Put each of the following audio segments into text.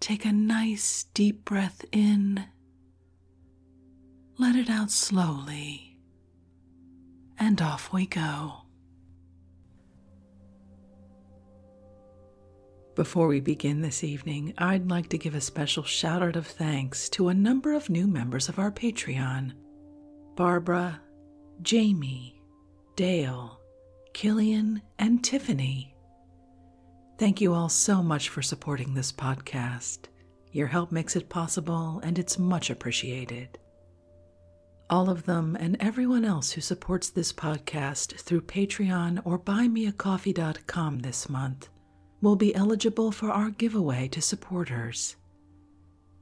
Take a nice deep breath in. Let it out slowly. And off we go. Before we begin this evening, I'd like to give a special shout out of thanks to a number of new members of our Patreon Barbara, Jamie, Dale, Killian, and Tiffany. Thank you all so much for supporting this podcast. Your help makes it possible, and it's much appreciated. All of them and everyone else who supports this podcast through Patreon or buymeacoffee.com this month will be eligible for our giveaway to supporters.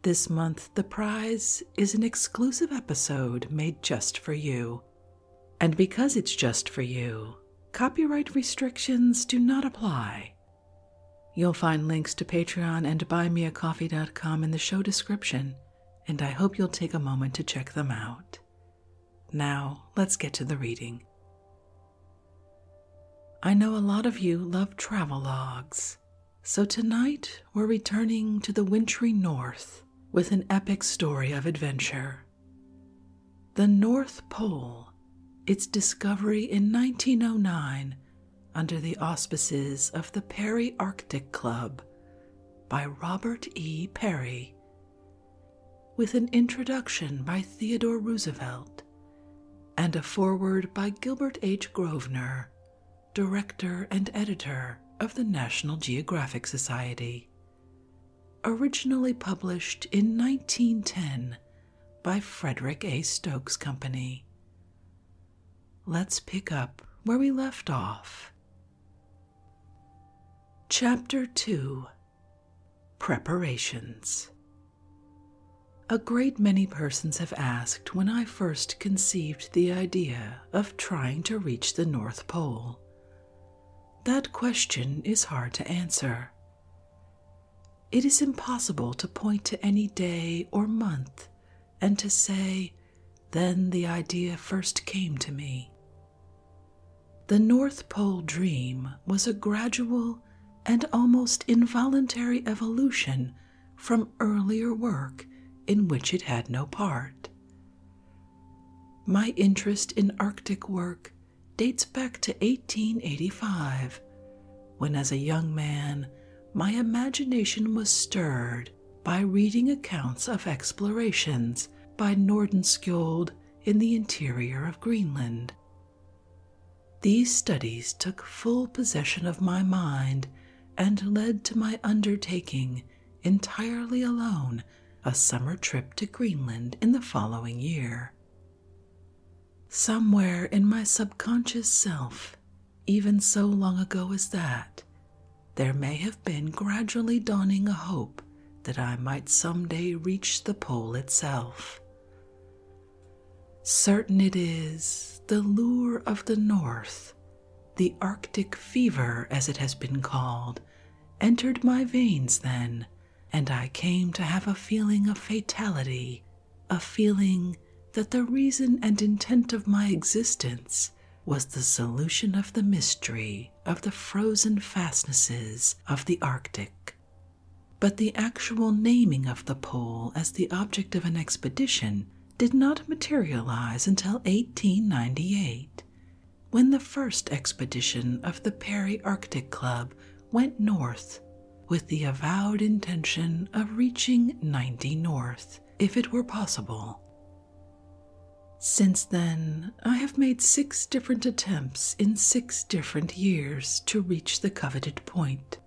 This month, the prize is an exclusive episode made just for you and because it's just for you, copyright restrictions do not apply. You'll find links to Patreon and buymeacoffee.com in the show description, and I hope you'll take a moment to check them out. Now, let's get to the reading. I know a lot of you love travel logs, so tonight we're returning to the wintry north with an epic story of adventure. The North Pole, its discovery in 1909 under the auspices of the Perry Arctic Club by Robert E. Perry, with an introduction by Theodore Roosevelt and a foreword by Gilbert H. Grosvenor, director and editor of the National Geographic Society originally published in 1910 by Frederick A. Stokes Company. Let's pick up where we left off. Chapter 2 Preparations A great many persons have asked when I first conceived the idea of trying to reach the North Pole that question is hard to answer. It is impossible to point to any day or month and to say, then the idea first came to me. The North Pole dream was a gradual and almost involuntary evolution from earlier work in which it had no part. My interest in Arctic work dates back to 1885, when as a young man my imagination was stirred by reading accounts of explorations by Nordenskjold in the interior of Greenland. These studies took full possession of my mind and led to my undertaking entirely alone a summer trip to Greenland in the following year. Somewhere in my subconscious self, even so long ago as that, there may have been gradually dawning a hope that I might some day reach the pole itself. Certain it is, the lure of the north, the Arctic fever as it has been called, entered my veins then, and I came to have a feeling of fatality, a feeling that the reason and intent of my existence was the solution of the mystery of the frozen fastnesses of the Arctic. But the actual naming of the pole as the object of an expedition did not materialize until 1898, when the first expedition of the Perry Arctic Club went north with the avowed intention of reaching 90 north if it were possible. Since then, I have made six different attempts in six different years to reach the coveted point.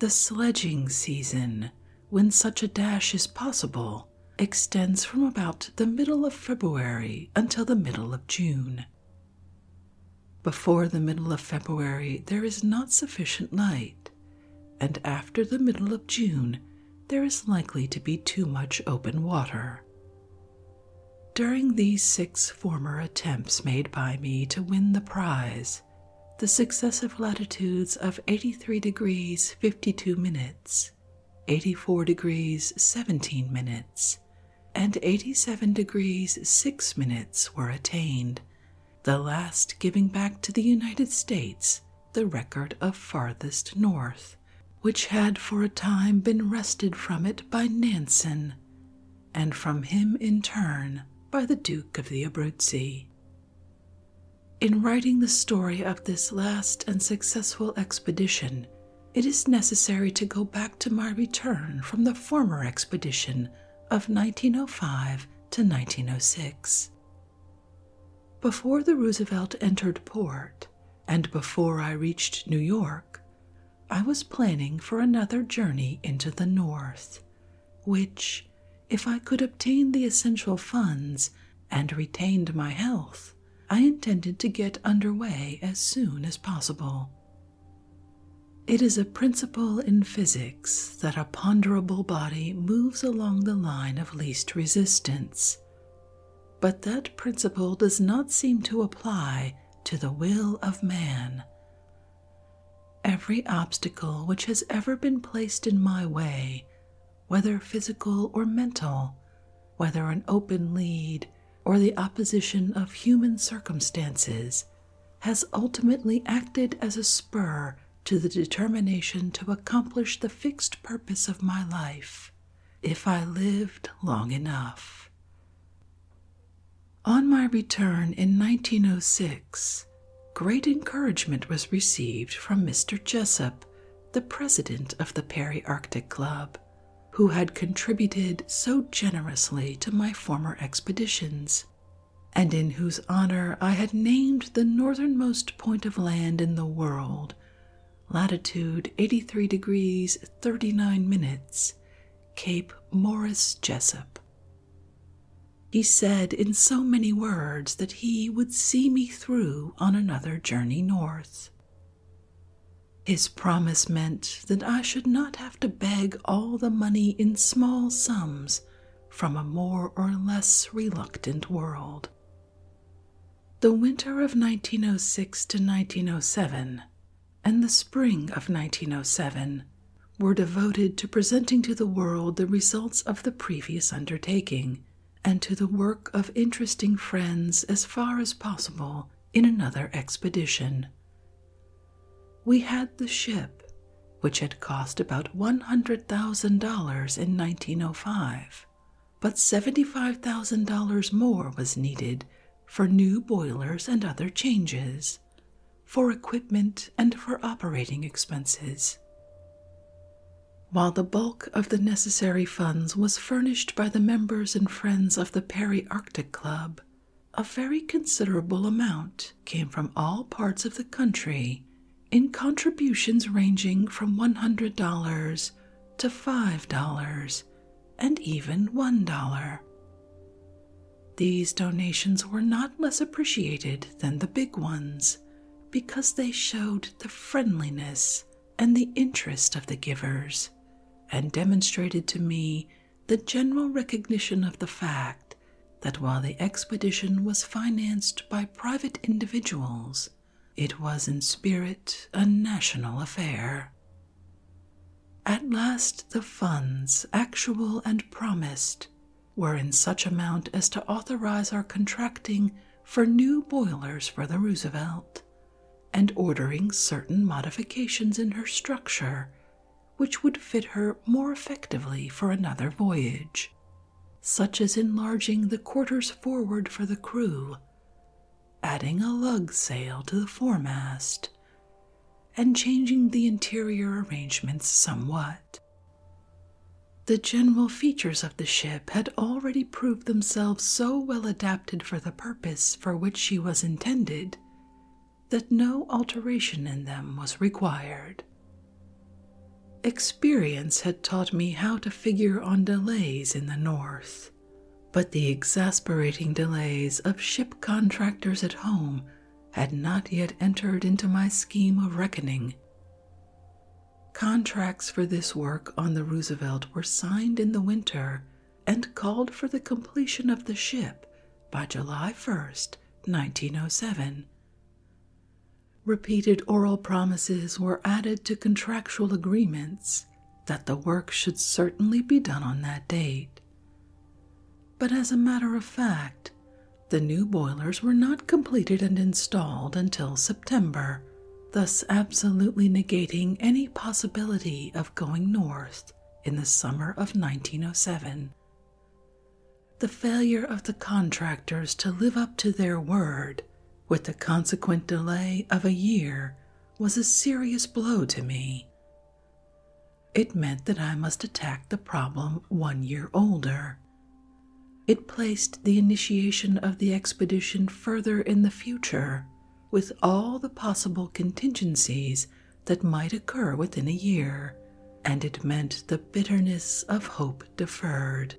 The sledging season, when such a dash is possible, extends from about the middle of February until the middle of June. Before the middle of February, there is not sufficient light, and after the middle of June, there is likely to be too much open water. During these six former attempts made by me to win the prize, the successive latitudes of 83 degrees 52 minutes 84 degrees 17 minutes, and 87 degrees 6 minutes were attained, the last giving back to the United States the record of farthest north, which had for a time been wrested from it by Nansen, and from him in turn by the Duke of the Abruzzi. In writing the story of this last and successful expedition it is necessary to go back to my return from the former expedition of 1905 to 1906. Before the Roosevelt entered port, and before I reached New York, I was planning for another journey into the North, which, if I could obtain the essential funds and retained my health, I intended to get under way as soon as possible. It is a principle in physics that a ponderable body moves along the line of least resistance, but that principle does not seem to apply to the will of man. Every obstacle which has ever been placed in my way, whether physical or mental, whether an open lead or the opposition of human circumstances, has ultimately acted as a spur to the determination to accomplish the fixed purpose of my life, if I lived long enough. On my return in 1906, great encouragement was received from Mr. Jessup, the president of the Perry Arctic Club, who had contributed so generously to my former expeditions, and in whose honor I had named the northernmost point of land in the world, latitude 83 degrees 39 minutes, Cape Morris Jessup. He said in so many words that he would see me through on another journey north, his promise meant that I should not have to beg all the money in small sums from a more or less reluctant world. The winter of 1906 to 1907 and the spring of 1907 were devoted to presenting to the world the results of the previous undertaking and to the work of interesting friends as far as possible in another expedition. We had the ship, which had cost about $100,000 in 1905, but $75,000 more was needed for new boilers and other changes, for equipment, and for operating expenses. While the bulk of the necessary funds was furnished by the members and friends of the Perry Arctic Club, a very considerable amount came from all parts of the country in contributions ranging from $100 to $5 and even $1. These donations were not less appreciated than the big ones because they showed the friendliness and the interest of the givers, and demonstrated to me the general recognition of the fact that while the expedition was financed by private individuals, it was in spirit a national affair. At last, the funds, actual and promised, were in such amount as to authorize our contracting for new boilers for the Roosevelt, and ordering certain modifications in her structure which would fit her more effectively for another voyage, such as enlarging the quarters forward for the crew, adding a lug sail to the foremast, and changing the interior arrangements somewhat. The general features of the ship had already proved themselves so well adapted for the purpose for which she was intended, that no alteration in them was required. Experience had taught me how to figure on delays in the North, but the exasperating delays of ship contractors at home had not yet entered into my scheme of reckoning. Contracts for this work on the Roosevelt were signed in the winter and called for the completion of the ship by July 1, 1907. Repeated oral promises were added to contractual agreements that the work should certainly be done on that date. But as a matter of fact, the new boilers were not completed and installed until September, thus absolutely negating any possibility of going north in the summer of 1907. The failure of the contractors to live up to their word, with the consequent delay of a year, was a serious blow to me. It meant that I must attack the problem one year older. It placed the initiation of the expedition further in the future with all the possible contingencies that might occur within a year, and it meant the bitterness of hope deferred.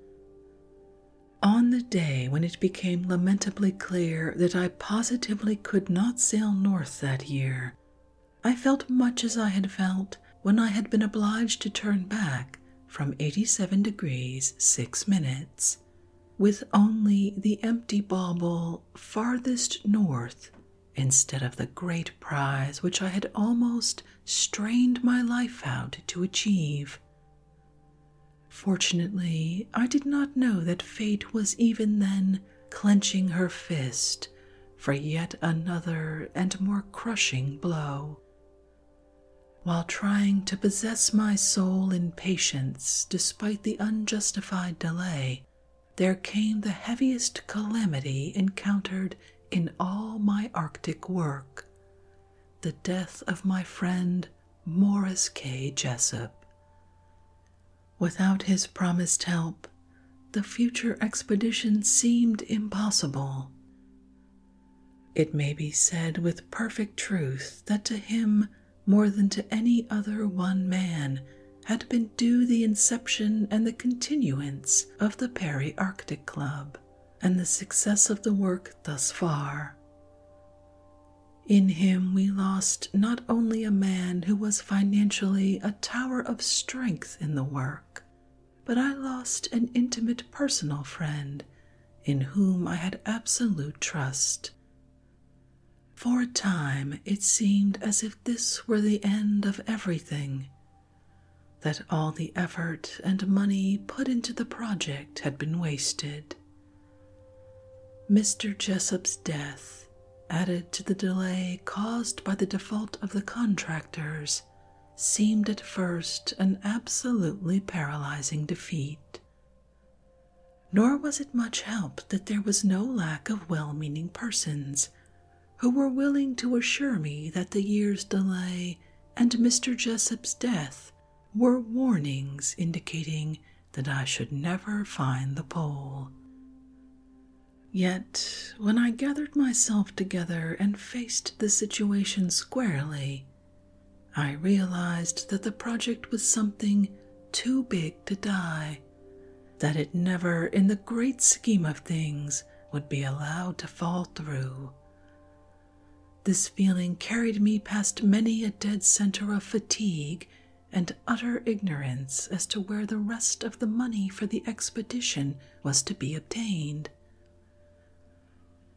On the day when it became lamentably clear that I positively could not sail north that year, I felt much as I had felt when I had been obliged to turn back from 87 degrees 6 minutes with only the empty bauble farthest north instead of the great prize which I had almost strained my life out to achieve. Fortunately, I did not know that fate was even then clenching her fist for yet another and more crushing blow. While trying to possess my soul in patience despite the unjustified delay, there came the heaviest calamity encountered in all my Arctic work the death of my friend Morris K. Jessup. Without his promised help, the future expedition seemed impossible. It may be said with perfect truth that to him more than to any other one man had been due the inception and the continuance of the Perry Arctic Club and the success of the work thus far. In him, we lost not only a man who was financially a tower of strength in the work, but I lost an intimate personal friend in whom I had absolute trust. For a time it seemed as if this were the end of everything, that all the effort and money put into the project had been wasted. Mr. Jessop's death, added to the delay caused by the default of the contractors, seemed at first an absolutely paralyzing defeat nor was it much help that there was no lack of well meaning persons who were willing to assure me that the year's delay and Mr. Jessop's death were warnings indicating that I should never find the pole. Yet, when I gathered myself together and faced the situation squarely, I realized that the project was something too big to die that it never, in the great scheme of things, would be allowed to fall through. This feeling carried me past many a dead center of fatigue and utter ignorance as to where the rest of the money for the expedition was to be obtained.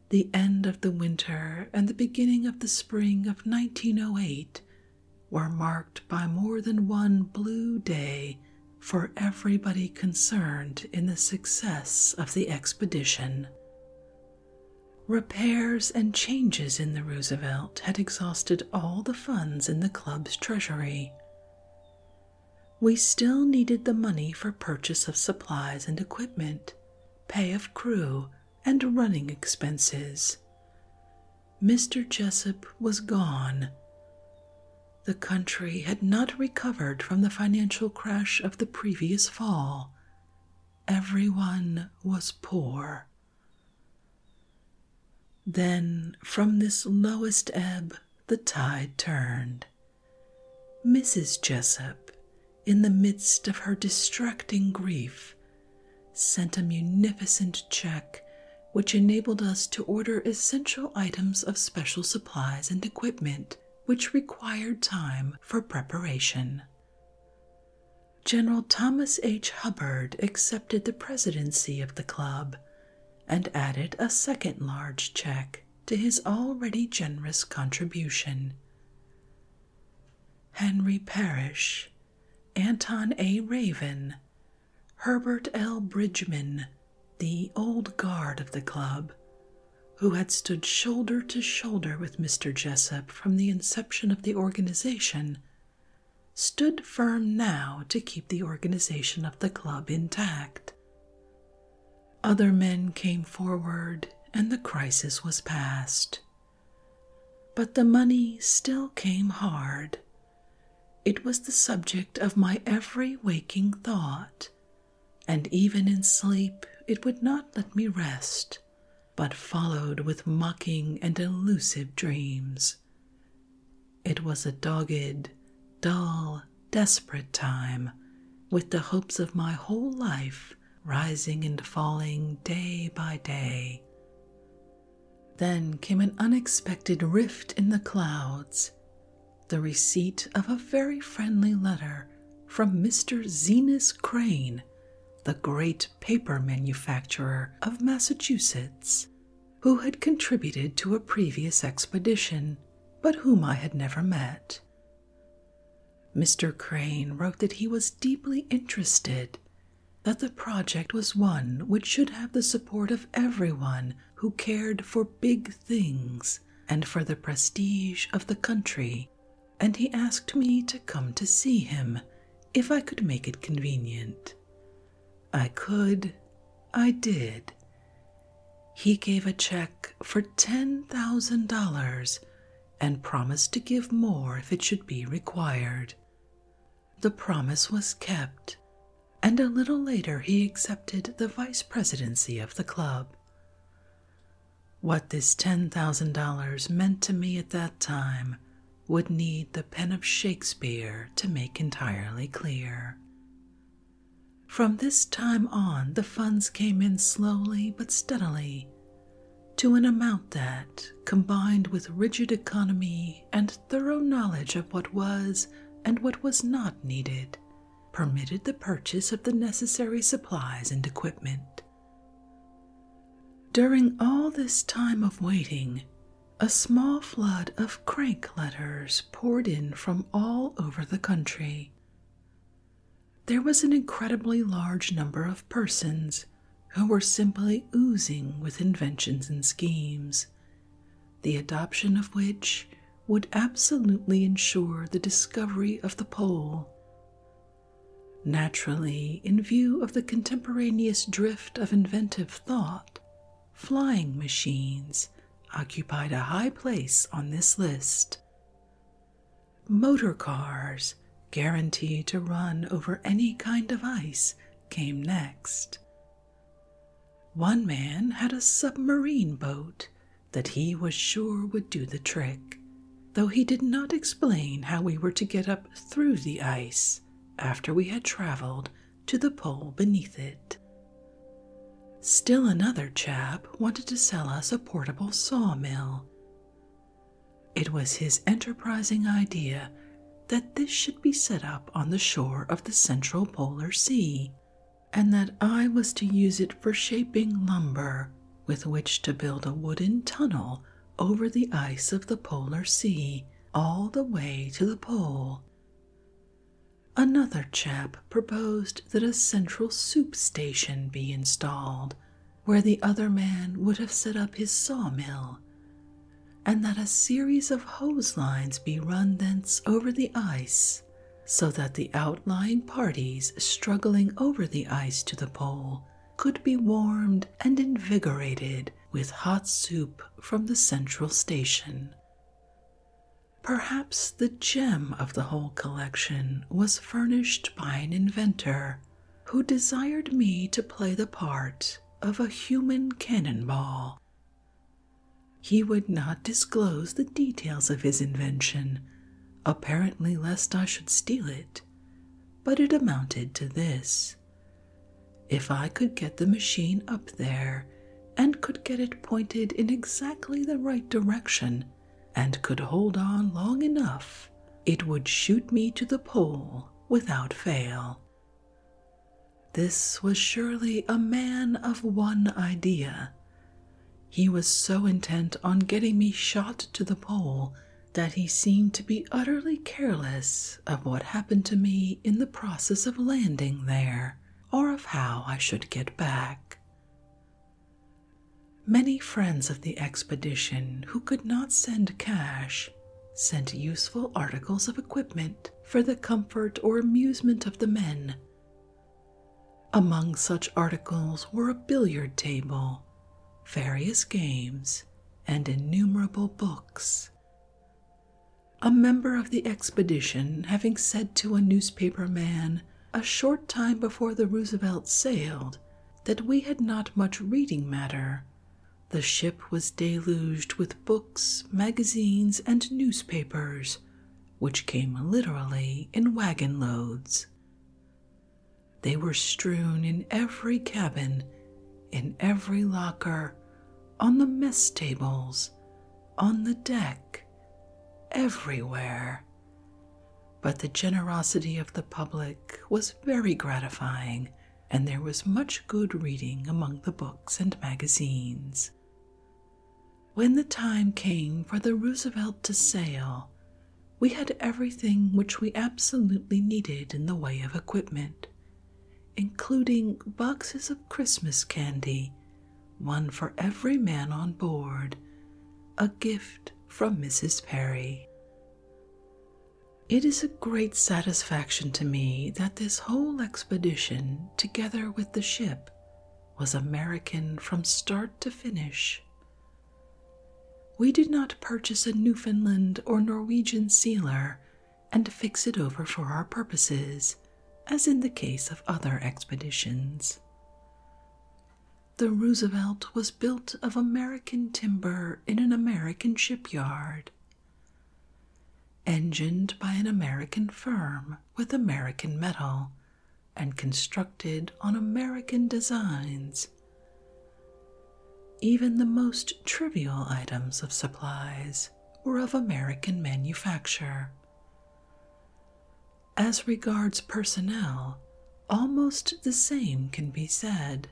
The end of the winter and the beginning of the spring of 1908 were marked by more than one blue day for everybody concerned in the success of the expedition. Repairs and changes in the Roosevelt had exhausted all the funds in the club's treasury. We still needed the money for purchase of supplies and equipment, pay of crew, and running expenses. Mr. Jessup was gone. The country had not recovered from the financial crash of the previous fall. Everyone was poor. Then, from this lowest ebb, the tide turned. Mrs. Jessup, in the midst of her distracting grief, sent a munificent check which enabled us to order essential items of special supplies and equipment which required time for preparation. General Thomas H. Hubbard accepted the presidency of the club and added a second large check to his already generous contribution. Henry Parrish Anton A. Raven, Herbert L. Bridgman, the old guard of the club, who had stood shoulder to shoulder with Mr. Jessup from the inception of the organization, stood firm now to keep the organization of the club intact. Other men came forward, and the crisis was past. But the money still came hard. It was the subject of my every waking thought, and even in sleep it would not let me rest, but followed with mocking and elusive dreams. It was a dogged, dull, desperate time, with the hopes of my whole life rising and falling day by day. Then came an unexpected rift in the clouds, the receipt of a very friendly letter from Mr. Zenas Crane, the great paper manufacturer of Massachusetts, who had contributed to a previous expedition, but whom I had never met. Mr. Crane wrote that he was deeply interested that the project was one which should have the support of everyone who cared for big things and for the prestige of the country, and he asked me to come to see him if I could make it convenient. I could, I did. He gave a check for $10,000 and promised to give more if it should be required. The promise was kept, and a little later he accepted the vice presidency of the club. What this $10,000 meant to me at that time would need the pen of Shakespeare to make entirely clear. From this time on, the funds came in slowly but steadily to an amount that, combined with rigid economy and thorough knowledge of what was and what was not needed permitted the purchase of the necessary supplies and equipment. During all this time of waiting, a small flood of crank letters poured in from all over the country. There was an incredibly large number of persons who were simply oozing with inventions and schemes, the adoption of which would absolutely ensure the discovery of the pole. Naturally, in view of the contemporaneous drift of inventive thought, flying machines occupied a high place on this list. Motor cars, guaranteed to run over any kind of ice, came next. One man had a submarine boat that he was sure would do the trick, though he did not explain how we were to get up through the ice after we had traveled to the pole beneath it. Still another chap wanted to sell us a portable sawmill. It was his enterprising idea that this should be set up on the shore of the central polar sea, and that I was to use it for shaping lumber with which to build a wooden tunnel over the ice of the polar sea all the way to the pole. Another chap proposed that a central soup station be installed where the other man would have set up his sawmill, and that a series of hose lines be run thence over the ice, so that the outlying parties struggling over the ice to the pole could be warmed and invigorated with hot soup from the central station. Perhaps the gem of the whole collection was furnished by an inventor who desired me to play the part of a human cannonball. He would not disclose the details of his invention, apparently lest I should steal it, but it amounted to this. If I could get the machine up there and could get it pointed in exactly the right direction and could hold on long enough, it would shoot me to the pole without fail. This was surely a man of one idea. He was so intent on getting me shot to the pole that he seemed to be utterly careless of what happened to me in the process of landing there or of how I should get back. Many friends of the expedition who could not send cash sent useful articles of equipment for the comfort or amusement of the men. Among such articles were a billiard table, various games, and innumerable books. A member of the expedition, having said to a newspaper man a short time before the Roosevelt sailed that we had not much reading matter, the ship was deluged with books, magazines, and newspapers, which came literally in wagon loads. They were strewn in every cabin, in every locker, on the mess tables, on the deck, everywhere. But the generosity of the public was very gratifying and there was much good reading among the books and magazines. When the time came for the Roosevelt to sail, we had everything which we absolutely needed in the way of equipment, including boxes of Christmas candy, one for every man on board, a gift from Mrs. Perry. It is a great satisfaction to me that this whole expedition, together with the ship, was American from start to finish. We did not purchase a Newfoundland or Norwegian sealer and fix it over for our purposes, as in the case of other expeditions. The Roosevelt was built of American timber in an American shipyard Engined by an American firm with American metal and constructed on American designs. Even the most trivial items of supplies were of American manufacture. As regards personnel, almost the same can be said.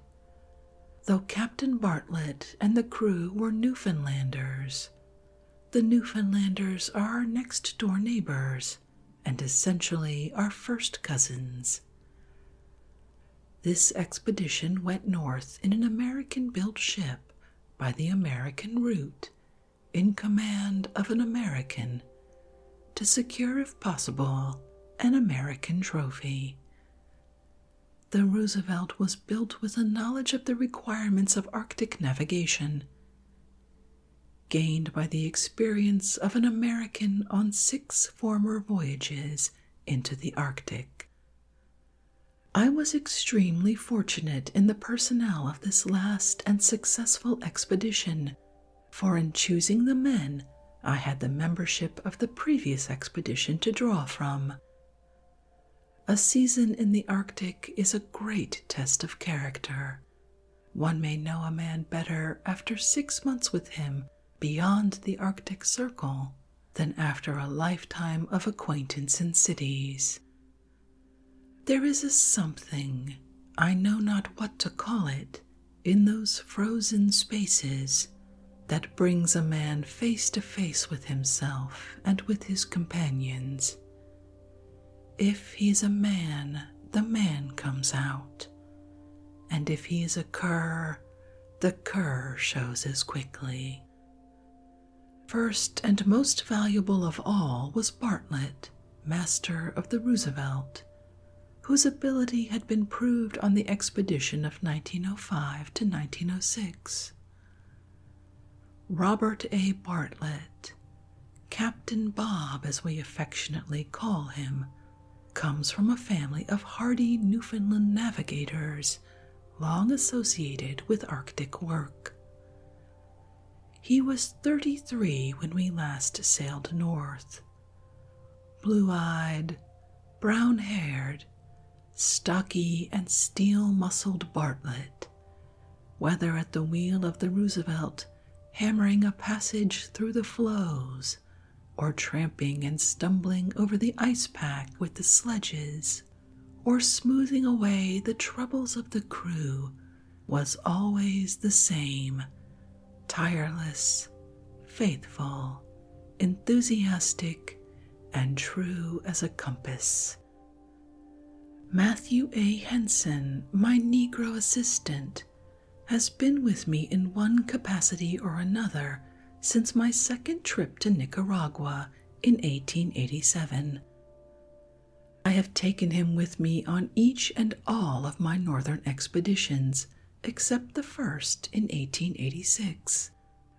Though Captain Bartlett and the crew were Newfoundlanders, the Newfoundlanders are our next door neighbors and essentially our first cousins. This expedition went north in an American built ship by the American route, in command of an American, to secure, if possible, an American trophy. The Roosevelt was built with a knowledge of the requirements of Arctic navigation, gained by the experience of an American on six former voyages into the Arctic. I was extremely fortunate in the personnel of this last and successful expedition, for in choosing the men, I had the membership of the previous expedition to draw from. A season in the Arctic is a great test of character. One may know a man better after six months with him beyond the Arctic Circle than after a lifetime of acquaintance in cities. There is a something, I know not what to call it, in those frozen spaces that brings a man face to face with himself and with his companions. If he is a man, the man comes out, and if he is a cur, the cur shows as quickly. First and most valuable of all was Bartlett, master of the Roosevelt, whose ability had been proved on the expedition of 1905 to 1906. Robert A. Bartlett, Captain Bob, as we affectionately call him, comes from a family of hardy Newfoundland navigators long associated with Arctic work. He was 33 when we last sailed north. Blue eyed, brown haired, stocky and steel muscled Bartlett, whether at the wheel of the Roosevelt, hammering a passage through the floes, or tramping and stumbling over the ice pack with the sledges, or smoothing away the troubles of the crew, was always the same tireless, faithful, enthusiastic, and true as a compass. Matthew A. Henson, my Negro assistant, has been with me in one capacity or another since my second trip to Nicaragua in 1887. I have taken him with me on each and all of my northern expeditions except the first in 1886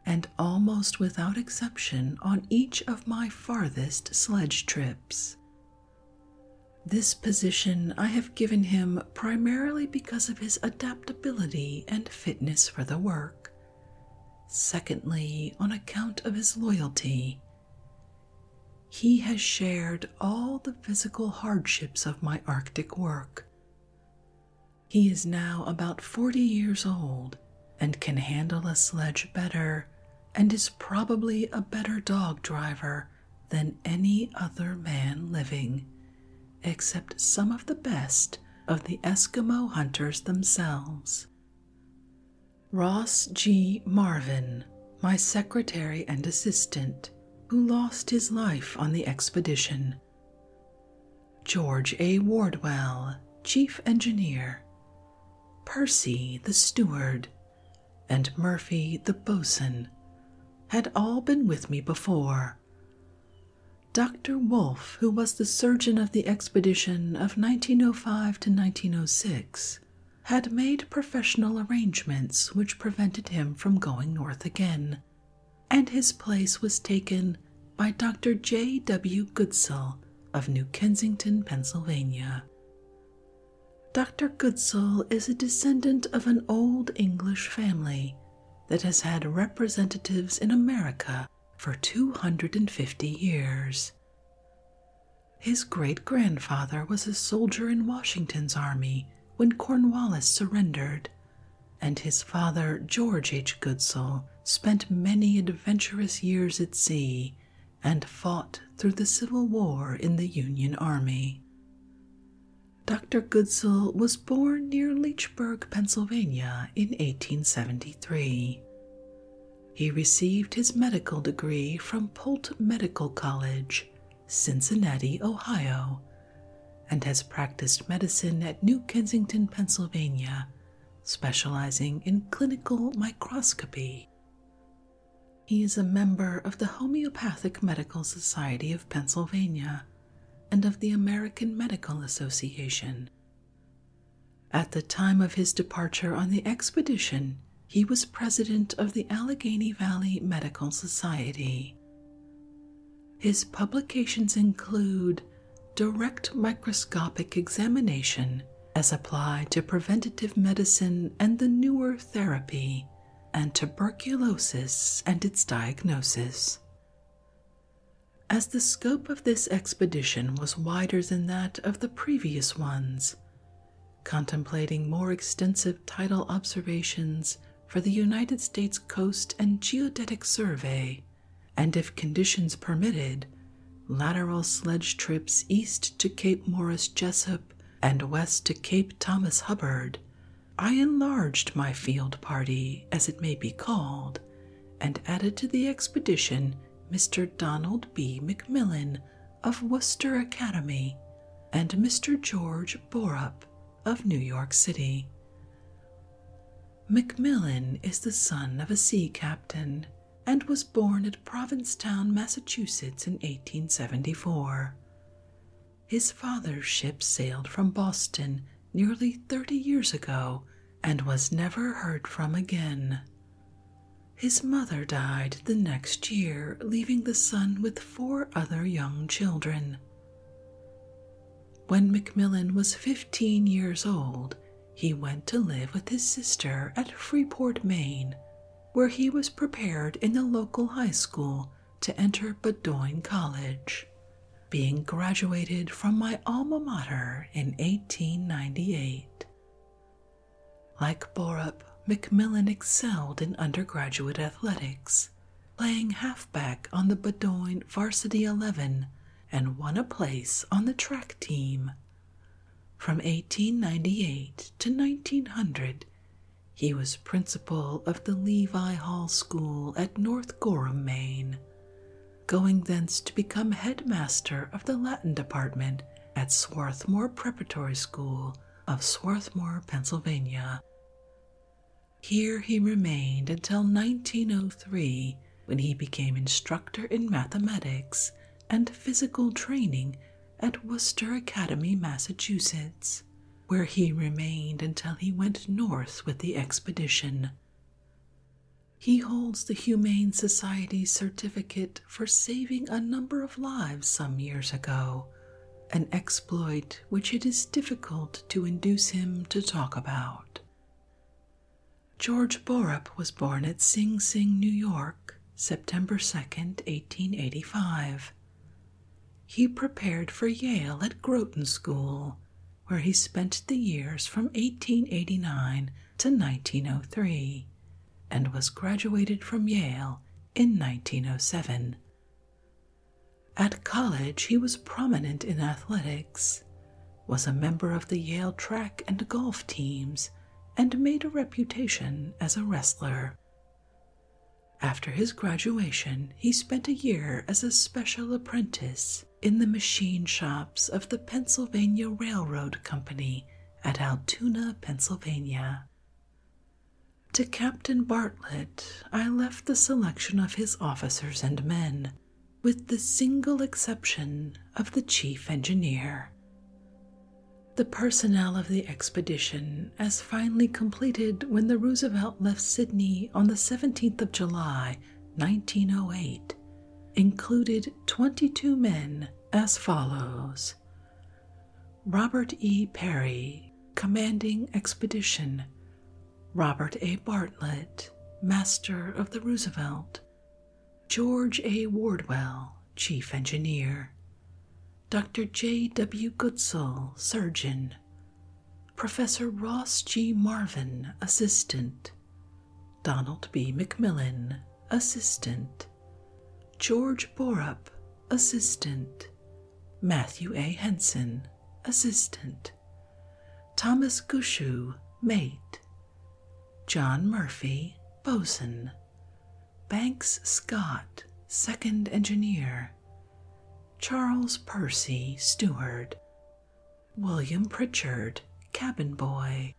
and almost without exception on each of my farthest sledge trips. This position I have given him primarily because of his adaptability and fitness for the work, secondly, on account of his loyalty. He has shared all the physical hardships of my Arctic work. He is now about forty years old and can handle a sledge better and is probably a better dog driver than any other man living, except some of the best of the Eskimo hunters themselves. Ross G. Marvin, my secretary and assistant, who lost his life on the expedition. George A. Wardwell, Chief Engineer, Percy the Steward, and Murphy the boatswain, had all been with me before. Dr. Wolfe, who was the surgeon of the expedition of 1905 to 1906, had made professional arrangements which prevented him from going north again, and his place was taken by Dr. J. W. Goodsell of New Kensington, Pennsylvania. Dr. Goodsell is a descendant of an old English family that has had representatives in America for 250 years. His great grandfather was a soldier in Washington's army when Cornwallis surrendered, and his father, George H. Goodsell, spent many adventurous years at sea, and fought through the Civil War in the Union Army. Dr. Goodsell was born near Leechburg, Pennsylvania in 1873. He received his medical degree from Polt Medical College, Cincinnati, Ohio, and has practiced medicine at New Kensington, Pennsylvania specializing in clinical microscopy. He is a member of the Homeopathic Medical Society of Pennsylvania and of the American Medical Association. At the time of his departure on the expedition, he was president of the Allegheny Valley Medical Society. His publications include direct microscopic examination as applied to preventive medicine and the newer therapy, and tuberculosis and its diagnosis. As the scope of this expedition was wider than that of the previous ones, contemplating more extensive tidal observations for the United States Coast and Geodetic Survey, and if conditions permitted, lateral sledge trips east to Cape Morris Jessup and west to Cape Thomas Hubbard. I enlarged my field party, as it may be called, and added to the expedition Mr. Donald B. Macmillan of Worcester Academy and Mr. George Borup of New York City. Macmillan is the son of a sea captain and was born at Provincetown, Massachusetts in 1874. His father's ship sailed from Boston nearly 30 years ago and was never heard from again. His mother died the next year, leaving the son with four other young children. When Macmillan was 15 years old, he went to live with his sister at Freeport, Maine, where he was prepared in the local high school to enter Bowdoin College, being graduated from my alma mater in 1898. Like Borup, Macmillan excelled in undergraduate athletics, playing halfback on the Bowdoin Varsity 11 and won a place on the track team from 1898 to 1900, he was principal of the Levi Hall School at North Gorham, Maine, going thence to become headmaster of the Latin department at Swarthmore Preparatory School of Swarthmore, Pennsylvania. Here he remained until 1903 when he became instructor in mathematics and physical training at Worcester Academy, Massachusetts, where he remained until he went north with the expedition. He holds the Humane Society's certificate for saving a number of lives some years ago, an exploit which it is difficult to induce him to talk about. George Borup was born at Sing Sing, New York, September 2, 1885. He prepared for Yale at Groton School, where he spent the years from 1889 to 1903 and was graduated from Yale in 1907. At college, he was prominent in athletics, was a member of the Yale track and golf teams and made a reputation as a wrestler. After his graduation, he spent a year as a special apprentice in the machine shops of the Pennsylvania Railroad Company at Altoona, Pennsylvania. To Captain Bartlett, I left the selection of his officers and men, with the single exception of the chief engineer. The personnel of the expedition, as finally completed when the Roosevelt left Sydney on the 17th of July 1908, included 22 men as follows Robert E. Perry, commanding expedition, Robert A. Bartlett, master of the Roosevelt, George A. Wardwell, Chief Engineer, Dr. J. W. Goodsall, Surgeon, Professor Ross G. Marvin, Assistant, Donald B. McMillan, Assistant, George Borup, Assistant, Matthew A. Henson, Assistant, Thomas Gushue, Mate, John Murphy, bosun. Banks Scott, second engineer. Charles Percy, steward. William Pritchard, cabin boy.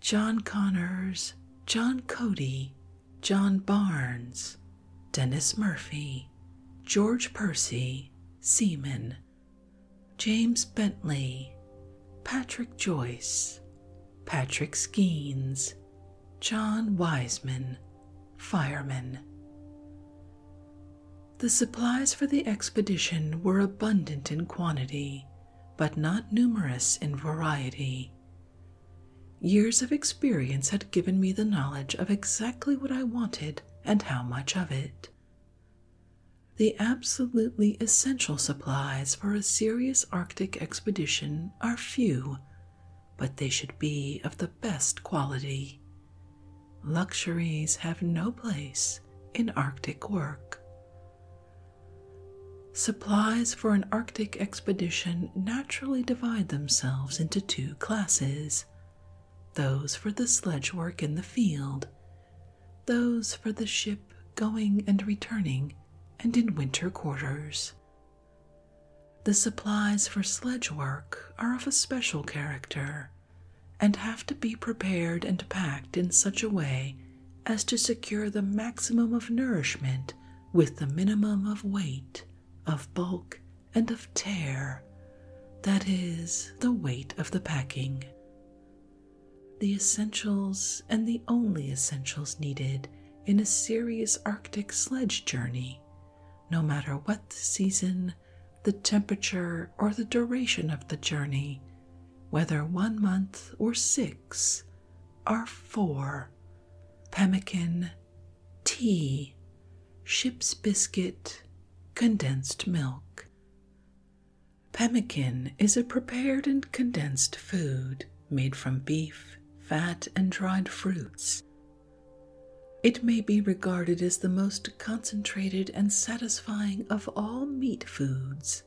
John Connors, John Cody, John Barnes, Dennis Murphy, George Percy, seaman. James Bentley, Patrick Joyce, Patrick Skeens, John Wiseman, firemen. The supplies for the expedition were abundant in quantity, but not numerous in variety. Years of experience had given me the knowledge of exactly what I wanted and how much of it. The absolutely essential supplies for a serious Arctic expedition are few, but they should be of the best quality. Luxuries have no place in Arctic work. Supplies for an Arctic expedition naturally divide themselves into two classes those for the sledge work in the field, those for the ship going and returning and in winter quarters. The supplies for sledge work are of a special character and have to be prepared and packed in such a way as to secure the maximum of nourishment with the minimum of weight, of bulk, and of tear, that is, the weight of the packing the essentials and the only essentials needed in a serious Arctic sledge journey, no matter what the season, the temperature, or the duration of the journey, whether one month or six, are four pemmican, tea, ship's biscuit, condensed milk. Pemmican is a prepared and condensed food made from beef, fat, and dried fruits. It may be regarded as the most concentrated and satisfying of all meat foods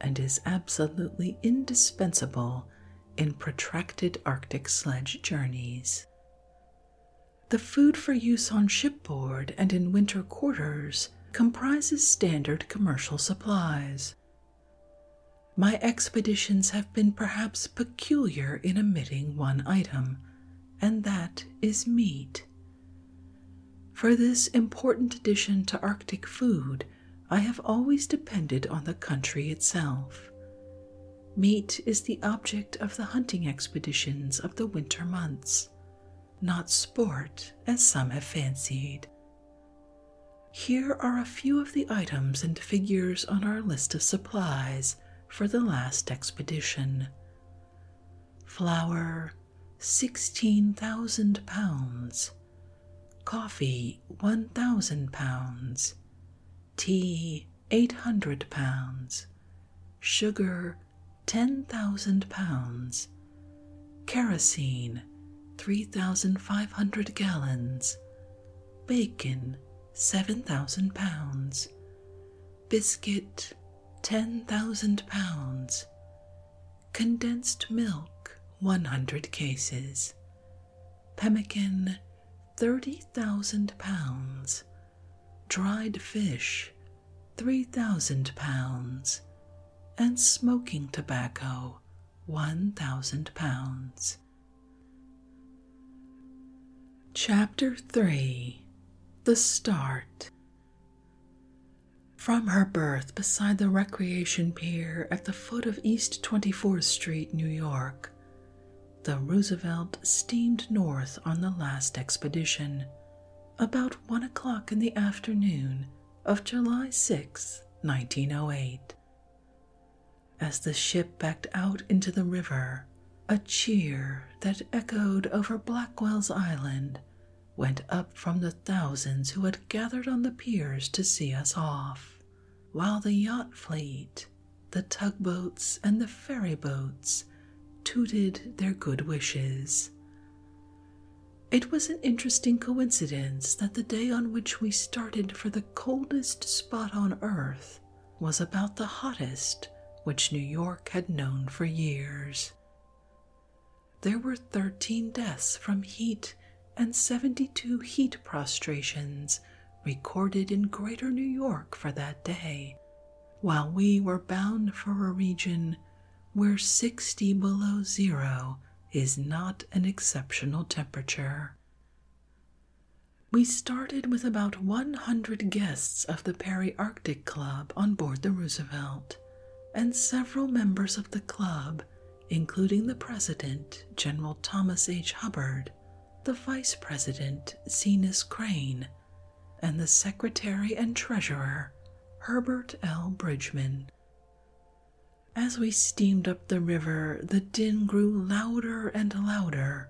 and is absolutely indispensable in protracted Arctic sledge journeys. The food for use on shipboard and in winter quarters comprises standard commercial supplies my expeditions have been perhaps peculiar in omitting one item, and that is meat. For this important addition to Arctic food, I have always depended on the country itself. Meat is the object of the hunting expeditions of the winter months, not sport as some have fancied, here are a few of the items and figures on our list of supplies for the last expedition flour, 16,000 pounds, coffee, 1,000 pounds, tea, 800 pounds, sugar, 10,000 pounds, kerosene, 3,500 gallons, bacon, 7,000 pounds, biscuit, 10,000 pounds, condensed milk, 100 cases, pemmican, 30,000 pounds, dried fish, 3,000 pounds, and smoking tobacco, £1,000. Chapter 3 The Start From her berth beside the recreation pier at the foot of East 24th Street, New York, the Roosevelt steamed north on the last expedition. About one o'clock in the afternoon of July 6, 1908. As the ship backed out into the river, a cheer that echoed over Blackwell's Island went up from the thousands who had gathered on the piers to see us off, while the yacht fleet, the tugboats, and the ferry boats tooted their good wishes. It was an interesting coincidence that the day on which we started for the coldest spot on earth was about the hottest which New York had known for years. There were 13 deaths from heat and 72 heat prostrations recorded in Greater New York for that day, while we were bound for a region where 60 below zero is not an exceptional temperature. We started with about 100 guests of the Perry Arctic Club on board the Roosevelt, and several members of the club, including the president, General Thomas H. Hubbard, the vice president, Zenas Crane, and the secretary and treasurer, Herbert L. Bridgman. As we steamed up the river, the din grew louder and louder.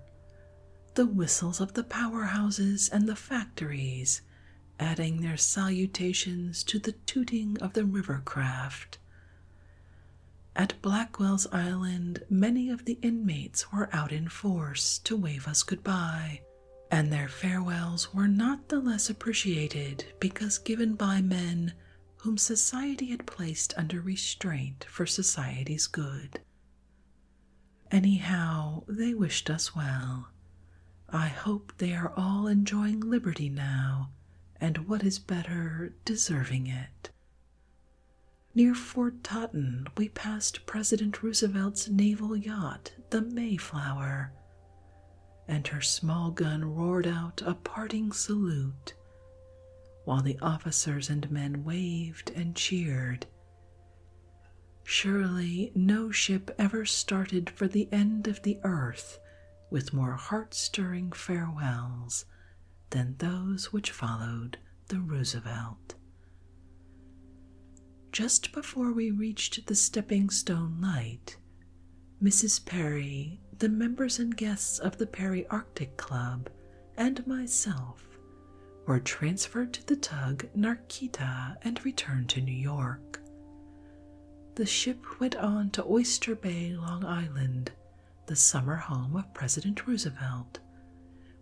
The whistles of the powerhouses and the factories, adding their salutations to the tooting of the river craft. At Blackwell's Island, many of the inmates were out in force to wave us goodbye, and their farewells were not the less appreciated because given by men whom society had placed under restraint for society's good. Anyhow, they wished us well. I hope they are all enjoying liberty now, and what is better, deserving it. Near Fort Totten, we passed President Roosevelt's naval yacht, the Mayflower, and her small gun roared out a parting salute, while the officers and men waved and cheered. Surely no ship ever started for the end of the earth with more heart stirring farewells than those which followed the Roosevelt. Just before we reached the stepping stone light, Mrs. Perry, the members and guests of the Perry Arctic Club, and myself were transferred to the tug Narquita and returned to New York. The ship went on to Oyster Bay, Long Island, the summer home of President Roosevelt,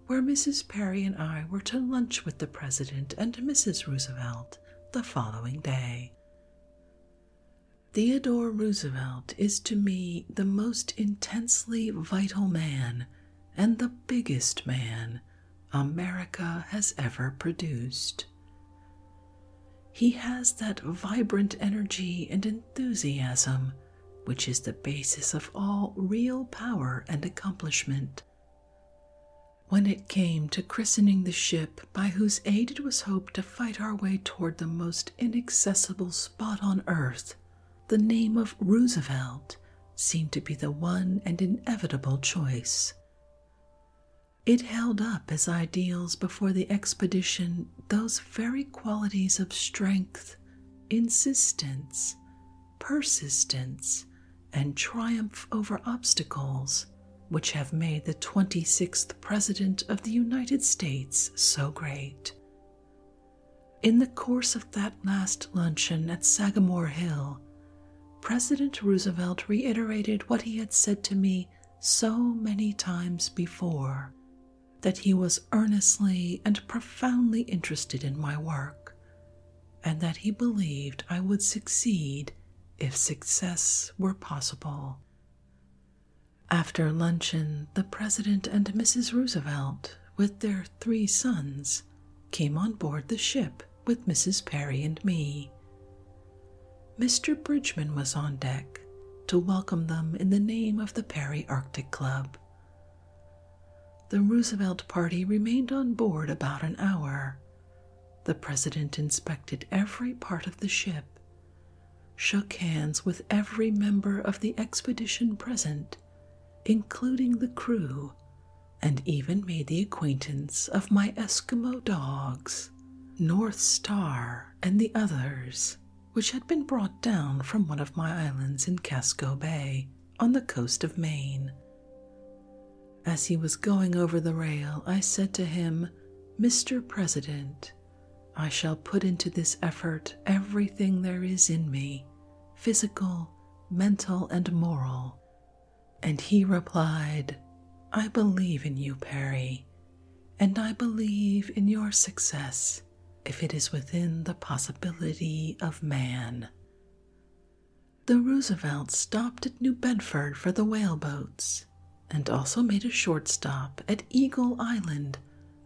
where Mrs. Perry and I were to lunch with the President and Mrs. Roosevelt the following day. Theodore Roosevelt is to me the most intensely vital man and the biggest man America has ever produced. He has that vibrant energy and enthusiasm which is the basis of all real power and accomplishment. When it came to christening the ship by whose aid it was hoped to fight our way toward the most inaccessible spot on earth, the name of Roosevelt seemed to be the one and inevitable choice. It held up as ideals before the expedition those very qualities of strength, insistence, persistence, and triumph over obstacles which have made the 26th President of the United States so great. In the course of that last luncheon at Sagamore Hill, President Roosevelt reiterated what he had said to me so many times before that he was earnestly and profoundly interested in my work, and that he believed I would succeed if success were possible. After luncheon, the President and Mrs. Roosevelt, with their three sons, came on board the ship with Mrs. Perry and me. Mr. Bridgman was on deck to welcome them in the name of the Perry Arctic Club. The Roosevelt party remained on board about an hour. The President inspected every part of the ship shook hands with every member of the expedition present, including the crew, and even made the acquaintance of my Eskimo dogs, North Star, and the others, which had been brought down from one of my islands in Casco Bay on the coast of Maine. As he was going over the rail, I said to him, Mr. President, I shall put into this effort everything there is in me, physical, mental, and moral. And he replied, I believe in you, Perry, and I believe in your success if it is within the possibility of man. The Roosevelts stopped at New Bedford for the whaleboats and also made a short stop at Eagle Island,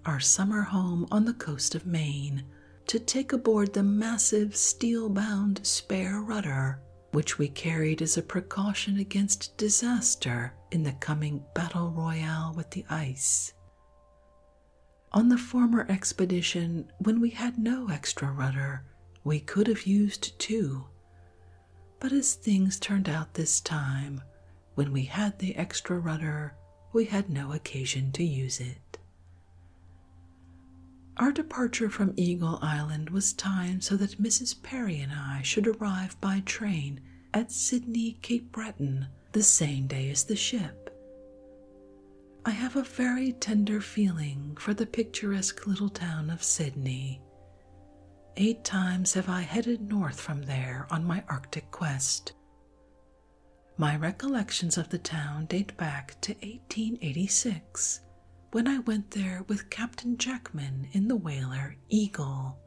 our summer home on the coast of Maine, to take aboard the massive steel bound spare rudder, which we carried as a precaution against disaster in the coming battle royale with the ice. On the former expedition, when we had no extra rudder, we could have used two, but as things turned out this time, when we had the extra rudder, we had no occasion to use it. Our departure from Eagle Island was timed so that Mrs. Perry and I should arrive by train at Sydney, Cape Breton, the same day as the ship. I have a very tender feeling for the picturesque little town of Sydney, Eight times have I headed north from there on my Arctic quest. My recollections of the town date back to 1886 when I went there with Captain Jackman in the whaler Eagle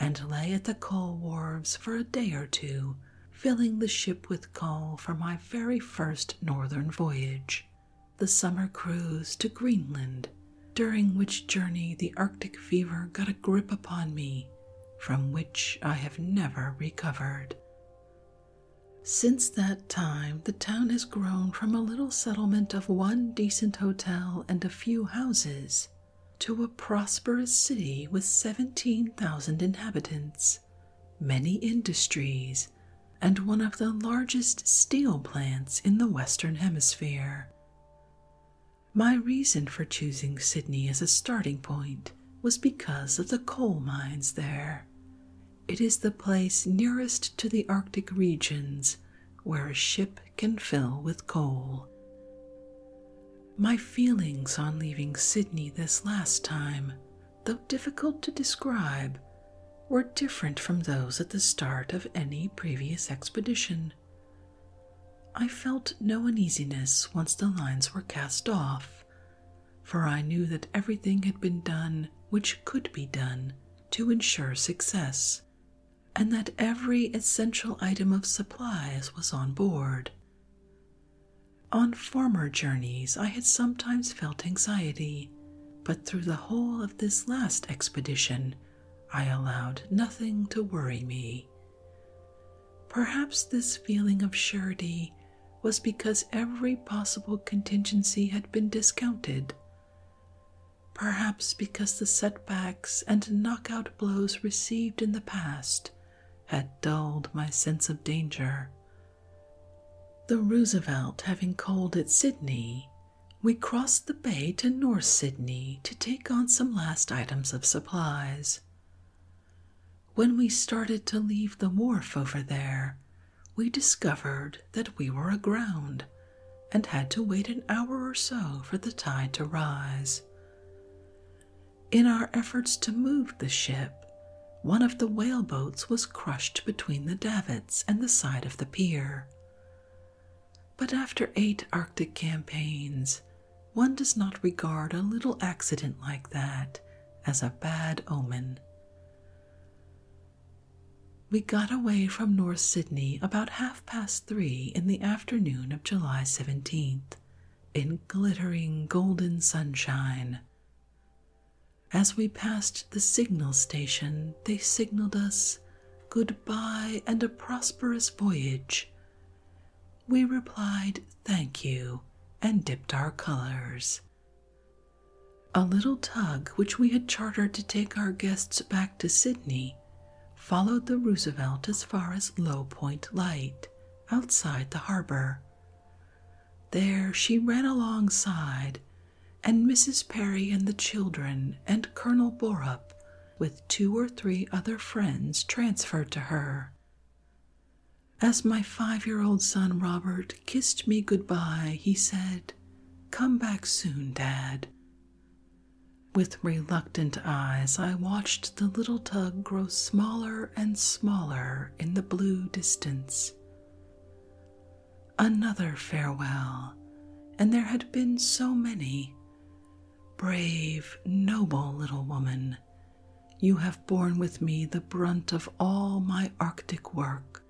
and lay at the coal wharves for a day or two, filling the ship with coal for my very first northern voyage, the summer cruise to Greenland during which journey the Arctic fever got a grip upon me from which I have never recovered. Since that time, the town has grown from a little settlement of one decent hotel and a few houses to a prosperous city with 17,000 inhabitants, many industries, and one of the largest steel plants in the Western Hemisphere. My reason for choosing Sydney as a starting point was because of the coal mines there. It is the place nearest to the Arctic regions where a ship can fill with coal. My feelings on leaving Sydney this last time, though difficult to describe, were different from those at the start of any previous expedition. I felt no uneasiness once the lines were cast off, for I knew that everything had been done which could be done to ensure success, and that every essential item of supplies was on board. On former journeys, I had sometimes felt anxiety, but through the whole of this last expedition, I allowed nothing to worry me. Perhaps this feeling of surety was because every possible contingency had been discounted. Perhaps because the setbacks and knockout blows received in the past had dulled my sense of danger. The Roosevelt, having called at Sydney, we crossed the bay to North Sydney to take on some last items of supplies. When we started to leave the wharf over there, we discovered that we were aground and had to wait an hour or so for the tide to rise. In our efforts to move the ship, one of the whaleboats was crushed between the davits and the side of the pier. But after eight Arctic campaigns, one does not regard a little accident like that as a bad omen. We got away from North Sydney about half past three in the afternoon of July 17th, in glittering golden sunshine. As we passed the signal station, they signaled us good bye and a prosperous voyage we replied, Thank you, and dipped our colors. A little tug which we had chartered to take our guests back to Sydney followed the Roosevelt as far as Low Point Light, outside the harbor. There she ran alongside, and Mrs. Perry and the children and Colonel Borup with two or three other friends transferred to her. As my five year old son Robert kissed me good goodbye, he said, Come back soon, Dad. With reluctant eyes, I watched the little tug grow smaller and smaller in the blue distance. Another farewell, and there had been so many. Brave, noble little woman, you have borne with me the brunt of all my Arctic work.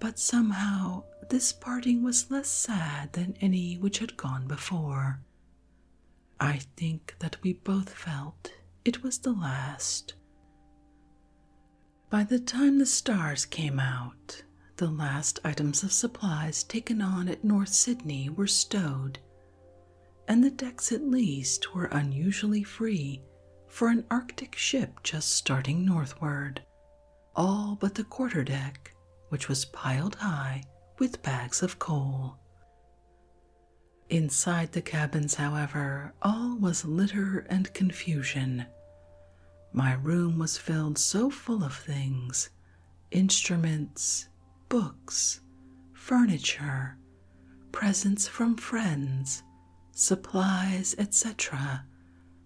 But somehow this parting was less sad than any which had gone before. I think that we both felt it was the last. By the time the stars came out, the last items of supplies taken on at North Sydney were stowed, and the decks at least were unusually free for an Arctic ship just starting northward, all but the quarter deck, which was piled high with bags of coal. Inside the cabins, however, all was litter and confusion. My room was filled so full of things instruments, books, furniture, presents from friends, supplies, etc.,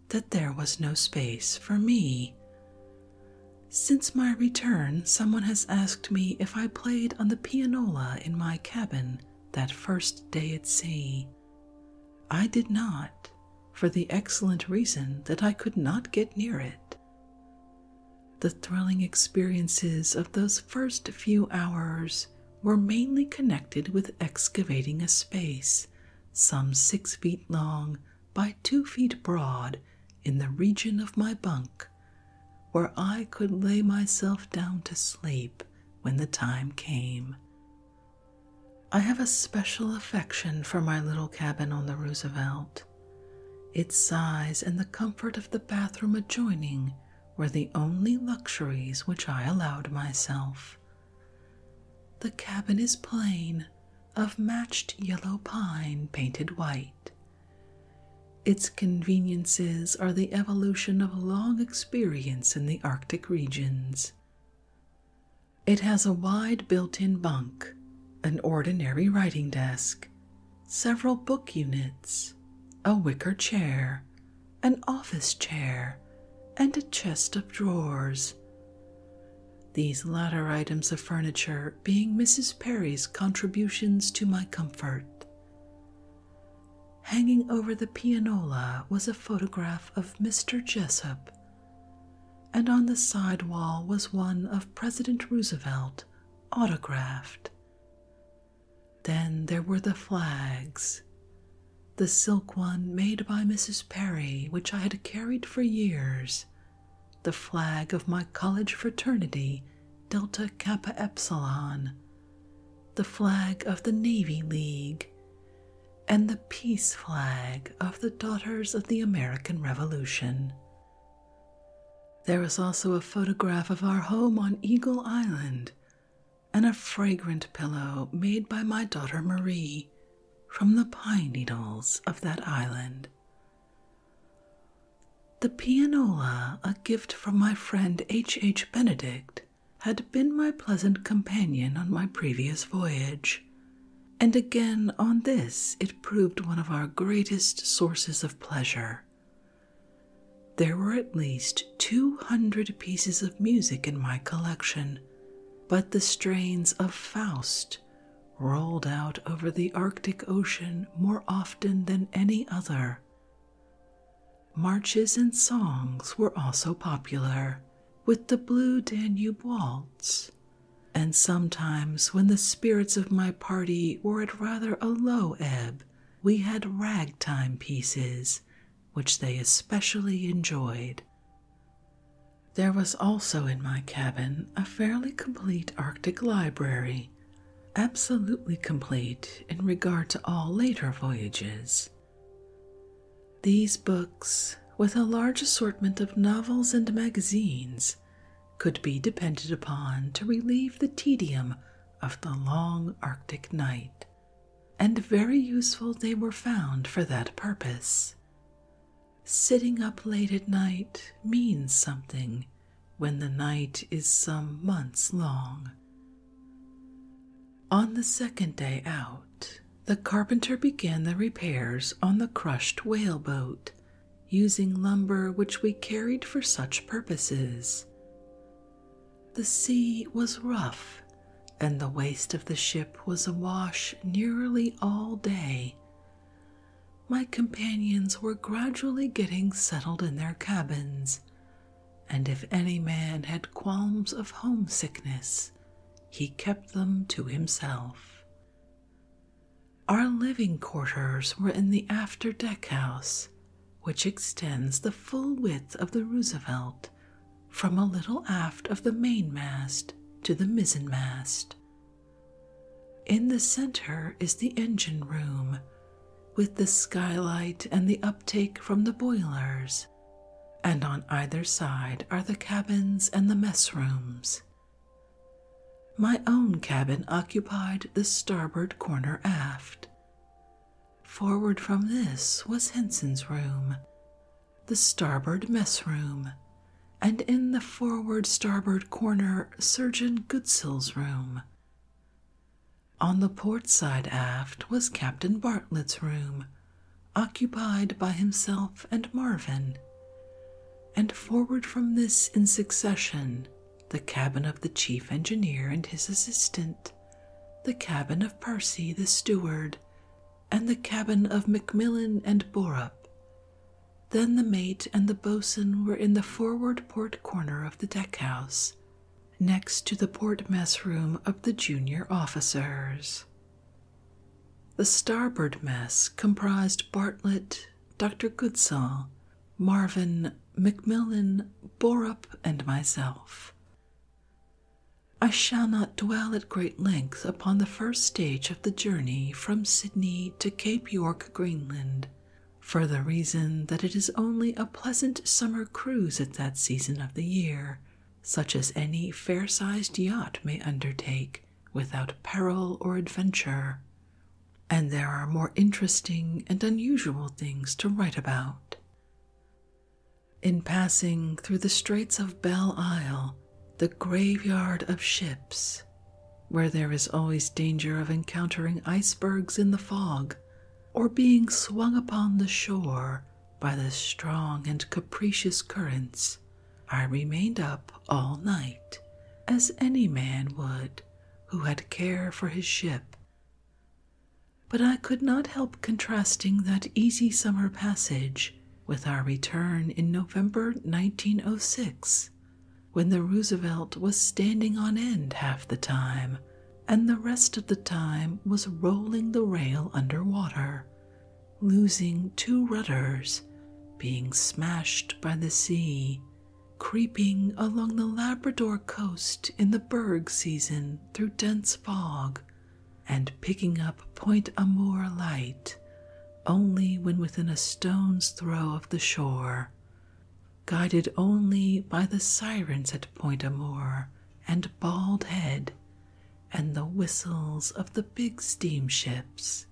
that there was no space for me. Since my return, someone has asked me if I played on the pianola in my cabin that first day at sea. I did not, for the excellent reason that I could not get near it. The thrilling experiences of those first few hours were mainly connected with excavating a space some six feet long by two feet broad in the region of my bunk, where I could lay myself down to sleep when the time came. I have a special affection for my little cabin on the Roosevelt. Its size and the comfort of the bathroom adjoining were the only luxuries which I allowed myself. The cabin is plain, of matched yellow pine painted white. Its conveniences are the evolution of long experience in the Arctic regions. It has a wide built in bunk, an ordinary writing desk, several book units, a wicker chair, an office chair, and a chest of drawers. These latter items of furniture being Mrs. Perry's contributions to my comfort. Hanging over the pianola was a photograph of Mr. Jessup and on the side wall was one of President Roosevelt, autographed. Then there were the flags. The silk one made by Mrs. Perry, which I had carried for years, the flag of my college fraternity, Delta Kappa Epsilon, the flag of the Navy League, and the peace flag of the Daughters of the American Revolution. There is also a photograph of our home on Eagle Island and a fragrant pillow made by my daughter Marie from the pine needles of that island. The pianola, a gift from my friend H. H. Benedict, had been my pleasant companion on my previous voyage, and again, on this, it proved one of our greatest sources of pleasure. There were at least 200 pieces of music in my collection, but the strains of Faust rolled out over the Arctic Ocean more often than any other. Marches and songs were also popular, with the Blue Danube Waltz and sometimes, when the spirits of my party were at rather a low ebb, we had ragtime pieces, which they especially enjoyed. There was also in my cabin a fairly complete Arctic library, absolutely complete in regard to all later voyages. These books, with a large assortment of novels and magazines, could be depended upon to relieve the tedium of the long Arctic night, and very useful they were found for that purpose. Sitting up late at night means something when the night is some months long. On the second day out, the carpenter began the repairs on the crushed whaleboat using lumber which we carried for such purposes. The sea was rough, and the waist of the ship was awash nearly all day. My companions were gradually getting settled in their cabins, and if any man had qualms of homesickness, he kept them to himself. Our living quarters were in the after deck house, which extends the full width of the Roosevelt from a little aft of the mainmast to the mizzenmast. In the center is the engine room, with the skylight and the uptake from the boilers, and on either side are the cabins and the mess rooms. My own cabin occupied the starboard corner aft. Forward from this was Henson's room, the starboard mess room, and in the forward starboard corner, Surgeon Goodsill's room. On the port side aft was Captain Bartlett's room, occupied by himself and Marvin, and forward from this in succession the cabin of the chief engineer and his assistant, the cabin of Percy the steward, and the cabin of Macmillan and Borup. Then the mate and the boatswain were in the forward port corner of the deckhouse, next to the port mess room of the junior officers. The starboard mess comprised Bartlett, Dr. Goodsall, Marvin, Macmillan, Borup, and myself. I shall not dwell at great length upon the first stage of the journey from Sydney to Cape York, Greenland, for the reason that it is only a pleasant summer cruise at that season of the year, such as any fair sized yacht may undertake without peril or adventure and there are more interesting and unusual things to write about. In passing through the Straits of Belle Isle, the graveyard of ships, where there is always danger of encountering icebergs in the fog or being swung upon the shore by the strong and capricious currents, I remained up all night, as any man would who had care for his ship. But I could not help contrasting that easy summer passage with our return in November 1906, when the Roosevelt was standing on end half the time and the rest of the time was rolling the rail under water, losing two rudders, being smashed by the sea, creeping along the Labrador coast in the berg season through dense fog, and picking up Point Amour light only when within a stone's throw of the shore, guided only by the sirens at Point Amour and Bald Head and the whistles of the big steamships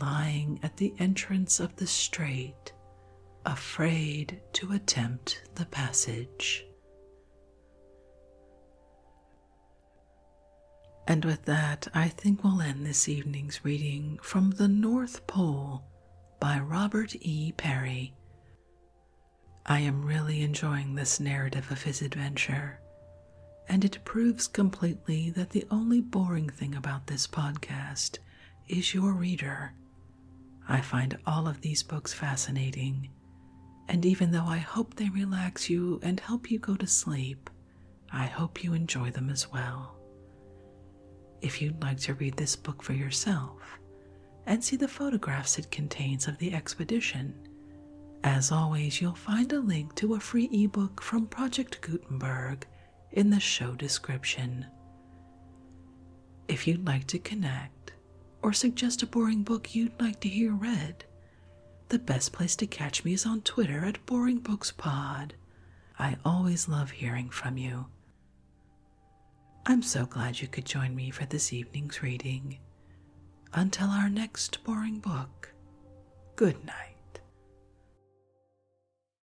lying at the entrance of the strait, afraid to attempt the passage. And with that, I think we'll end this evening's reading from The North Pole by Robert E. Perry. I am really enjoying this narrative of his adventure, and it proves completely that the only boring thing about this podcast is your reader. I find all of these books fascinating, and even though I hope they relax you and help you go to sleep, I hope you enjoy them as well. If you'd like to read this book for yourself and see the photographs it contains of the expedition, as always, you'll find a link to a free ebook from Project Gutenberg in the show description. If you'd like to connect or suggest a boring book you'd like to hear read, the best place to catch me is on Twitter at Boring Books Pod. I always love hearing from you. I'm so glad you could join me for this evening's reading. Until our next boring book, good night.